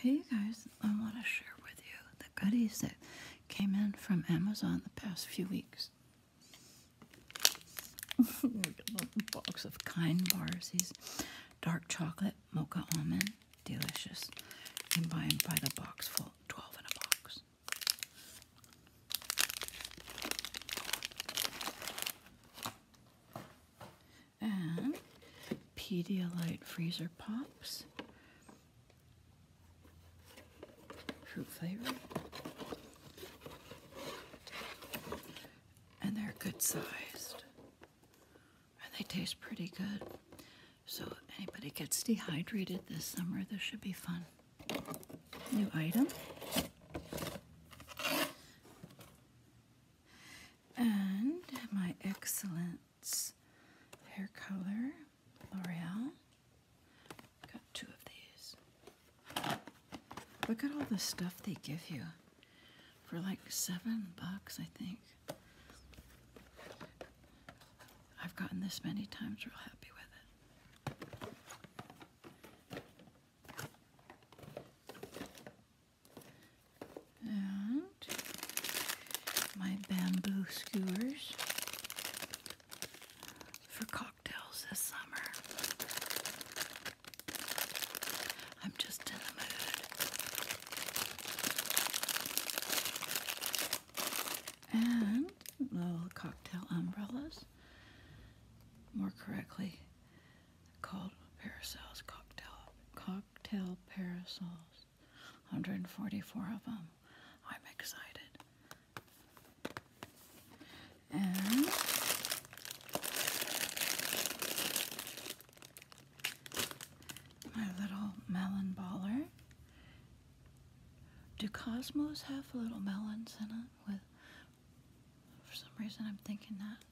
Hey guys, I want to share with you the goodies that came in from Amazon the past few weeks. a box of Kind Bars, these dark chocolate mocha almond, delicious. You can buy them by the box full, 12 in a box and Pedialyte freezer pops, fruit flavor, and they're good sized, and they taste pretty good. So anybody gets dehydrated this summer, this should be fun. New item. And my Excellence hair color, L'Oreal. Got two of these. Look at all the stuff they give you for like seven bucks, I think. I've gotten this many times, real happy with it and my bamboo skewers for cocktails this summer. I'm just in the mood. And little cocktail umbrellas, more correctly, called parasols, cocktail, cocktail parasols. 144 of them. I'm excited. And my little melon baller. Do Cosmos have little melons in it with for some reason, I'm thinking that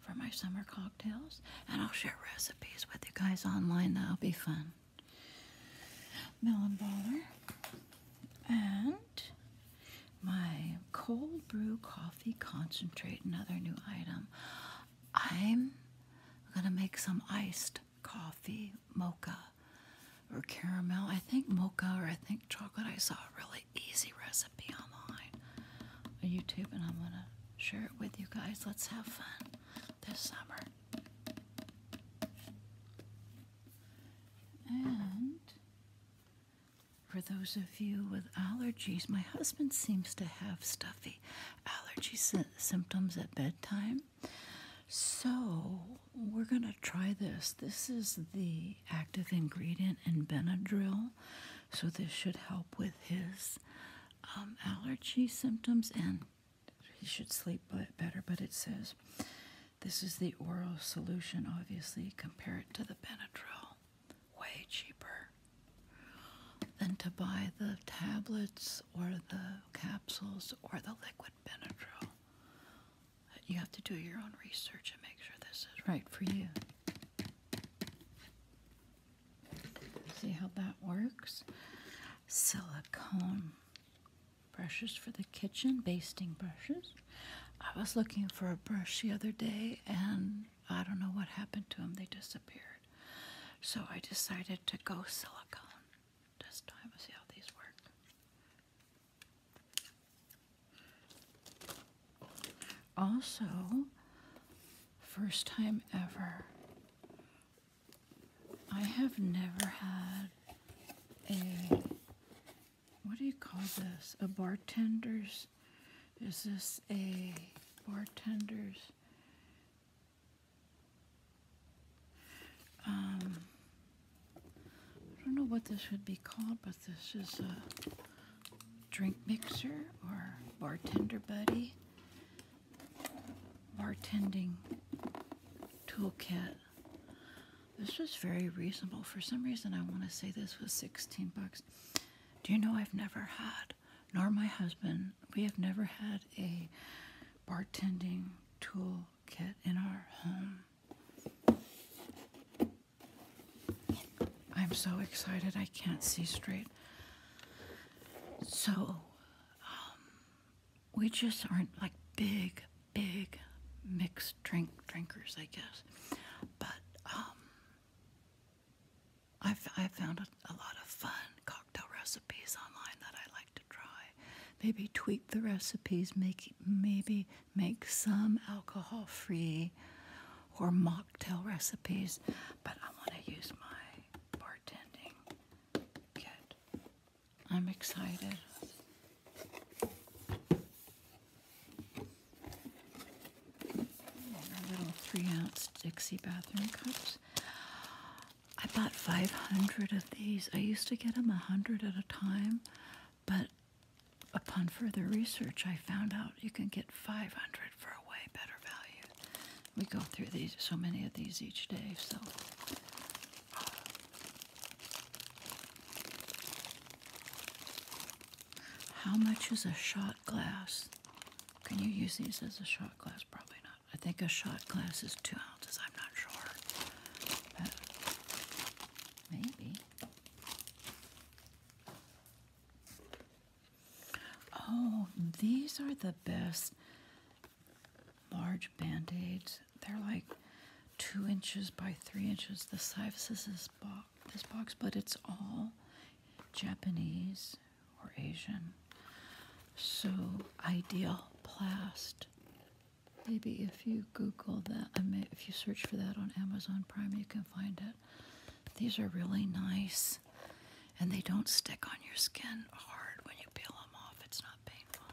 for my summer cocktails. And I'll share recipes with you guys online. That'll be fun. Melon Baller. And my cold brew coffee concentrate, another new item. I'm gonna make some iced coffee mocha or caramel. I think mocha or I think chocolate. I saw really easy recipe online on YouTube, and I'm going to share it with you guys. Let's have fun this summer. And for those of you with allergies, my husband seems to have stuffy allergy symptoms at bedtime. So we're going to try this. This is the active ingredient in Benadryl, so this should help with his um, allergy symptoms and he should sleep better. But it says this is the oral solution, obviously, compare it to the Benadryl, way cheaper than to buy the tablets or the capsules or the liquid Benadryl. You have to do your own research and make sure this is right for you. See how that works? Silicone brushes for the kitchen, basting brushes. I was looking for a brush the other day and I don't know what happened to them, they disappeared. So I decided to go silicone this time see how these work. Also, first time ever, I have never had a what do you call this? A bartender's? Is this a bartender's? Um, I don't know what this would be called, but this is a drink mixer or bartender buddy. Bartending toolkit. This was very reasonable. For some reason, I want to say this was 16 bucks. Do you know I've never had, nor my husband, we have never had a bartending toolkit in our home. I'm so excited I can't see straight. So, um, we just aren't like big, big mixed drink drinkers, I guess. But um, I've, found a, a lot of fun cocktail recipes online that I like to try. Maybe tweak the recipes, make maybe make some alcohol free or mocktail recipes, but I want to use my bartending I'm excited. little three ounce Dixie bathroom cups. I bought 500 of these. I used to get them 100 at a time, but Upon further research, I found out you can get 500 for a way better value. We go through these so many of these each day, so. How much is a shot glass? Can you use these as a shot glass? Probably not. I think a shot glass is two ounces. I'm not sure. Maybe. Oh, these are the best large band aids. They're like two inches by three inches. The size is this box, this box, but it's all Japanese or Asian. So ideal plast Maybe if you Google that, I mean, if you search for that on Amazon Prime, you can find it. These are really nice, and they don't stick on your skin hard when you peel them off. It's not painful.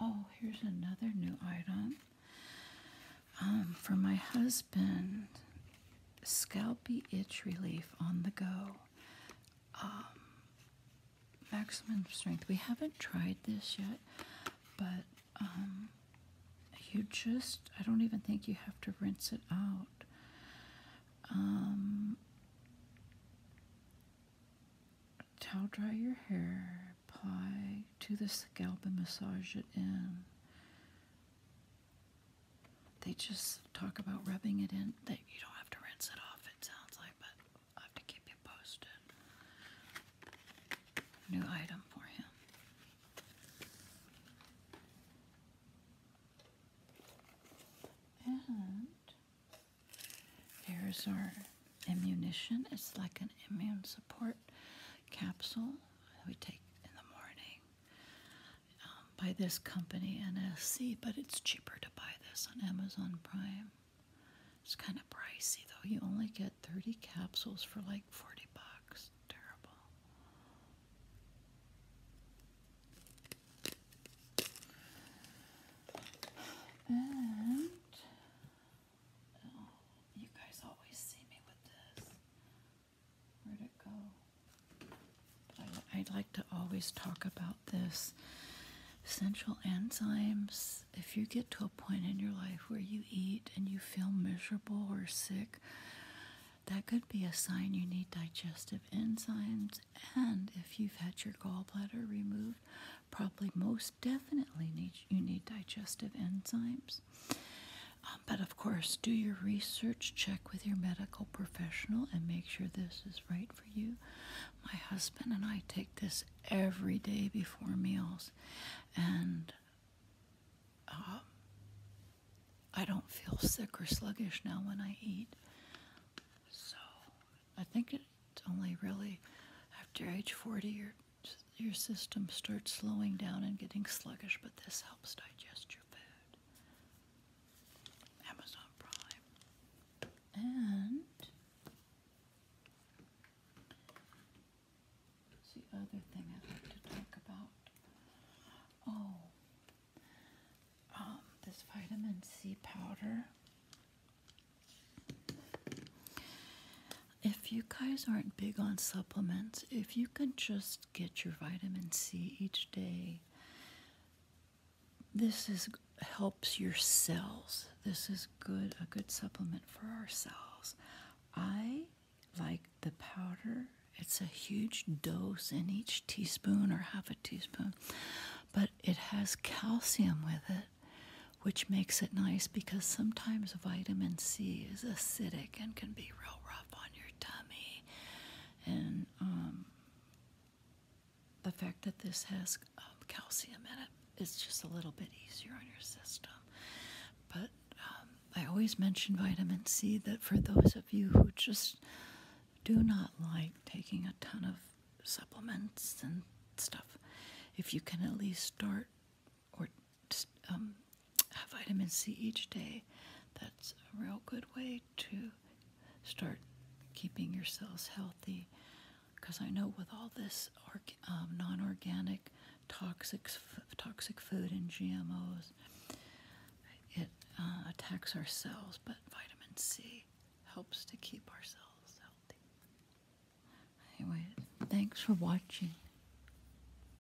Oh, here's another new item um, for my husband. Scalpy itch relief on the go. Um, maximum strength. We haven't tried this yet, but um, you just, I don't even think you have to rinse it out. Um, towel dry your hair, apply to the scalp and massage it in. They just talk about rubbing it in. They, you don't have to rinse it off, it sounds like, but I have to keep you posted. New item for him. And here's our ammunition. It's like an immune support capsule we take in the morning. Um, by this company, NSC, but it's cheaper to buy this on Amazon Prime. It's kind of pricey though. You only get 30 capsules for like 40 bucks. Terrible. And oh, you guys always see me with this i would like to always talk about this. Essential enzymes, if you get to a point in your life where you eat and you feel miserable or sick, that could be a sign you need digestive enzymes. And if you've had your gallbladder removed, probably most definitely need, you need digestive enzymes. Um, but of course, do your research, check with your medical professional, and make sure this is right for you. My husband and I take this every day before meals, and um, I don't feel sick or sluggish now when I eat. So I think it's only really after age 40 your, your system starts slowing down and getting sluggish, but this helps digest your food. Amazon Prime. And the other thing I'd like to talk about? Oh, um, this vitamin C powder. If you guys aren't big on supplements, if you can just get your vitamin C each day. This is helps your cells. This is good a good supplement for our cells. I like the powder. It's a huge dose in each teaspoon or half a teaspoon, but it has calcium with it, which makes it nice because sometimes vitamin C is acidic and can be real rough on your tummy and um, the fact that this has um, calcium in it is just a little bit easier on your system. But um, I always mention vitamin C that for those of you who just do not like taking a ton of supplements and stuff, if you can at least start or vitamin C each day. That's a real good way to start keeping yourselves healthy. Because I know with all this um, non organic, toxic, toxic food and GMOs, it uh, attacks our cells, but vitamin C helps to keep ourselves healthy. Anyway, thanks for watching.